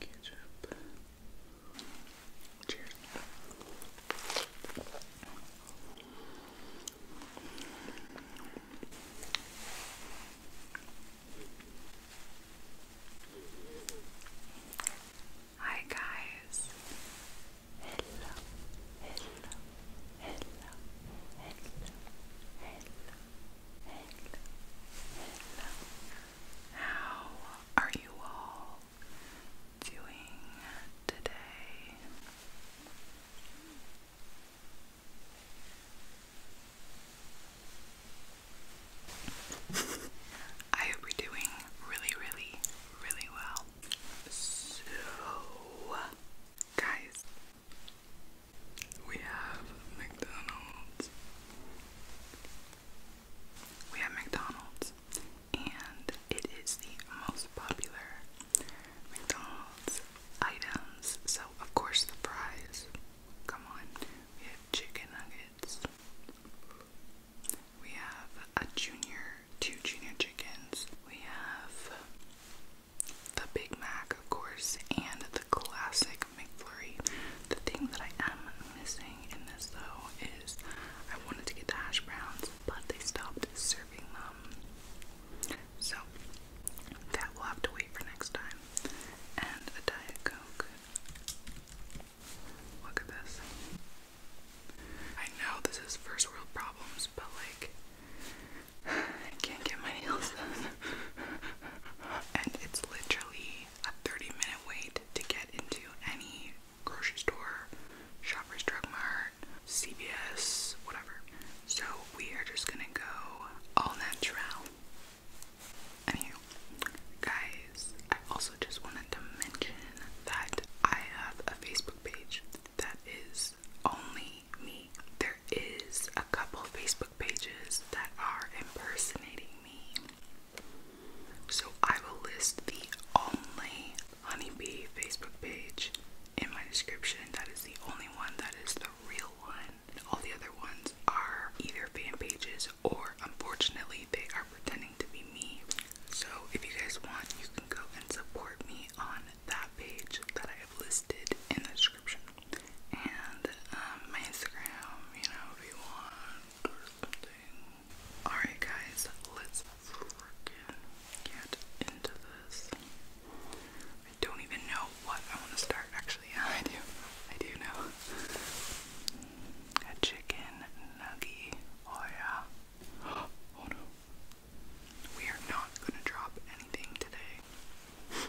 ketchup. Cheers. Hi guys. Hello. Hello. Hello. Hello. Hello. Hello. How are you all doing today? I hope you're doing really, really, really well. So, guys, we have McDonald's. We have McDonald's, and it is the most popular McDonald's items. So, of course, the fries. Come on. chicken nuggets. We have a junior, two junior chickens. We have the Big Mac, of course, and the the classic McFlurry. The thing that I am missing in this though is I wanted to get the hash browns, but they stopped serving them. So that will have to wait for next time. And a Diet Coke. Look at this. I know this is first world problems, but like, I can't get my nails done and it's literally a 30 minute wait to get into any grocery store, Shoppers Drug Mart, CVS, whatever. So we are just gonna go all natural. Anywho, guys, I also just wanted to mention that I have a Facebook page that is only me there is a couple Facebook pages that are impersonating me. So I will list the only honeybee Facebook page in my description. That is the only one that is the real one. All the other ones are either fan pages or unfortunately they are pretending to be me. So if you guys want, you can go and support me on that page that I have listed in the description. Um, Alright, guys, let's freaking get into this. I don't even know what I want to start, actually. Yeah, I do. I do know. A chicken nugget. Oh, yeah. Oh, no. We are not going to drop anything today.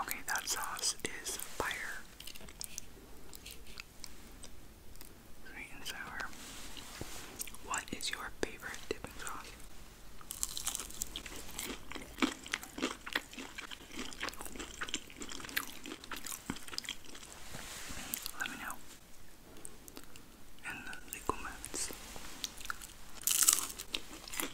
Okay, that sauce is fire. Sweet and sour. What is your favorite dipping sauce? Let me know in the comments.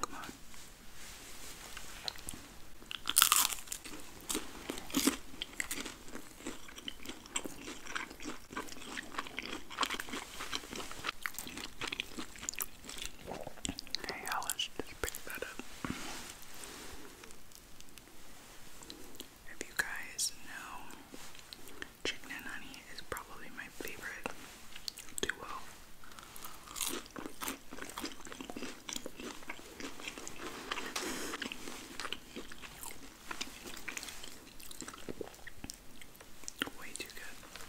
Come Hey, Alice, just pick that up. If you guys know, chicken and honey is probably my favorite do well. Way too good.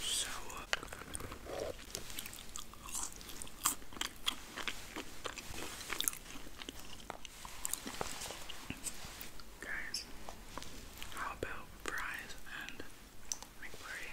So uh, Guys, how about fries and McFlurry?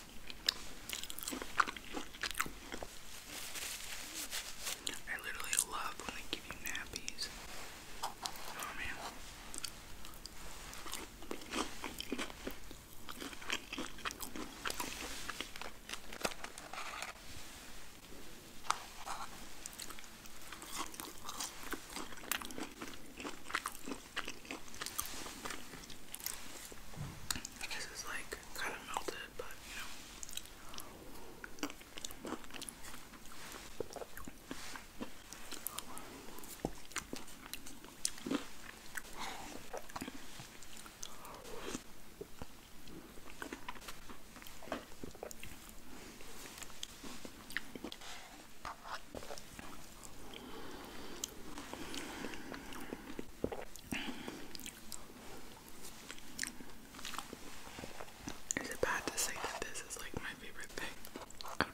I literally love when they give you nappies. Oh man. I guess it's like kind of melted, but you know. Is it bad to say that this is like my favorite thing out of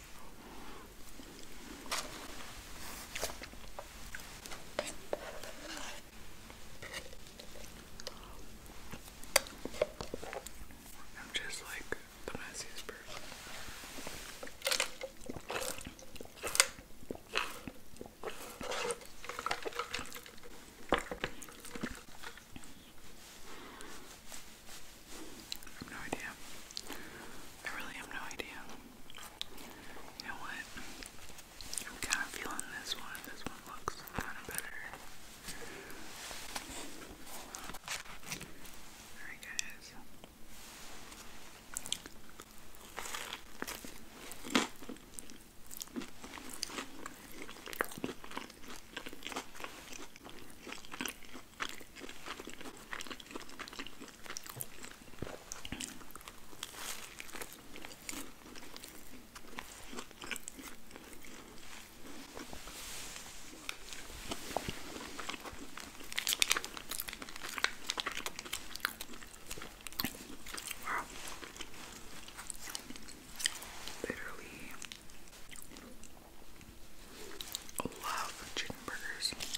I'm just like the messiest person. I have no idea. I really have no idea. You know what? I'm kind of feeling this one. This one looks kind of better. Alright, guys. Wow. Literally love chicken burgers.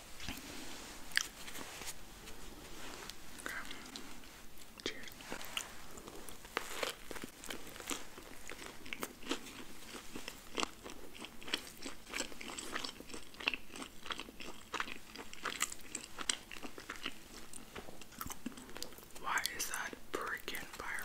Okay. Cheers. Why is that brick fire?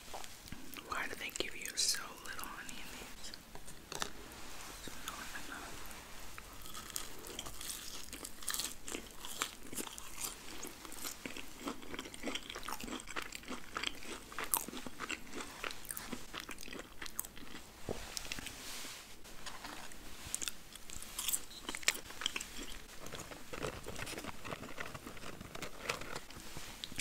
Why do they give you so little honey in these? So not enough.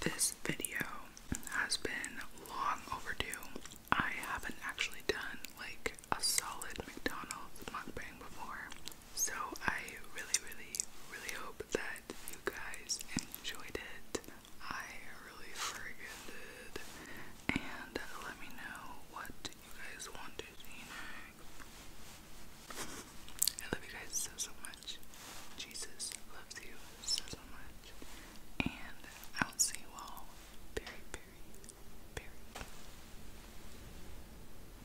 This video has been long overdue. I haven't actually done like a solid McDonald's mukbang before. So I really, really, really hope that you guys enjoyed it. I really friggin' did. And let me know what you guys wanted, you know. I love you guys so, so much. Jesus loves you so, so much. And I'll see you all very, very,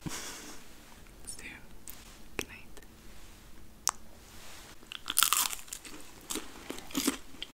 very soon. Good night.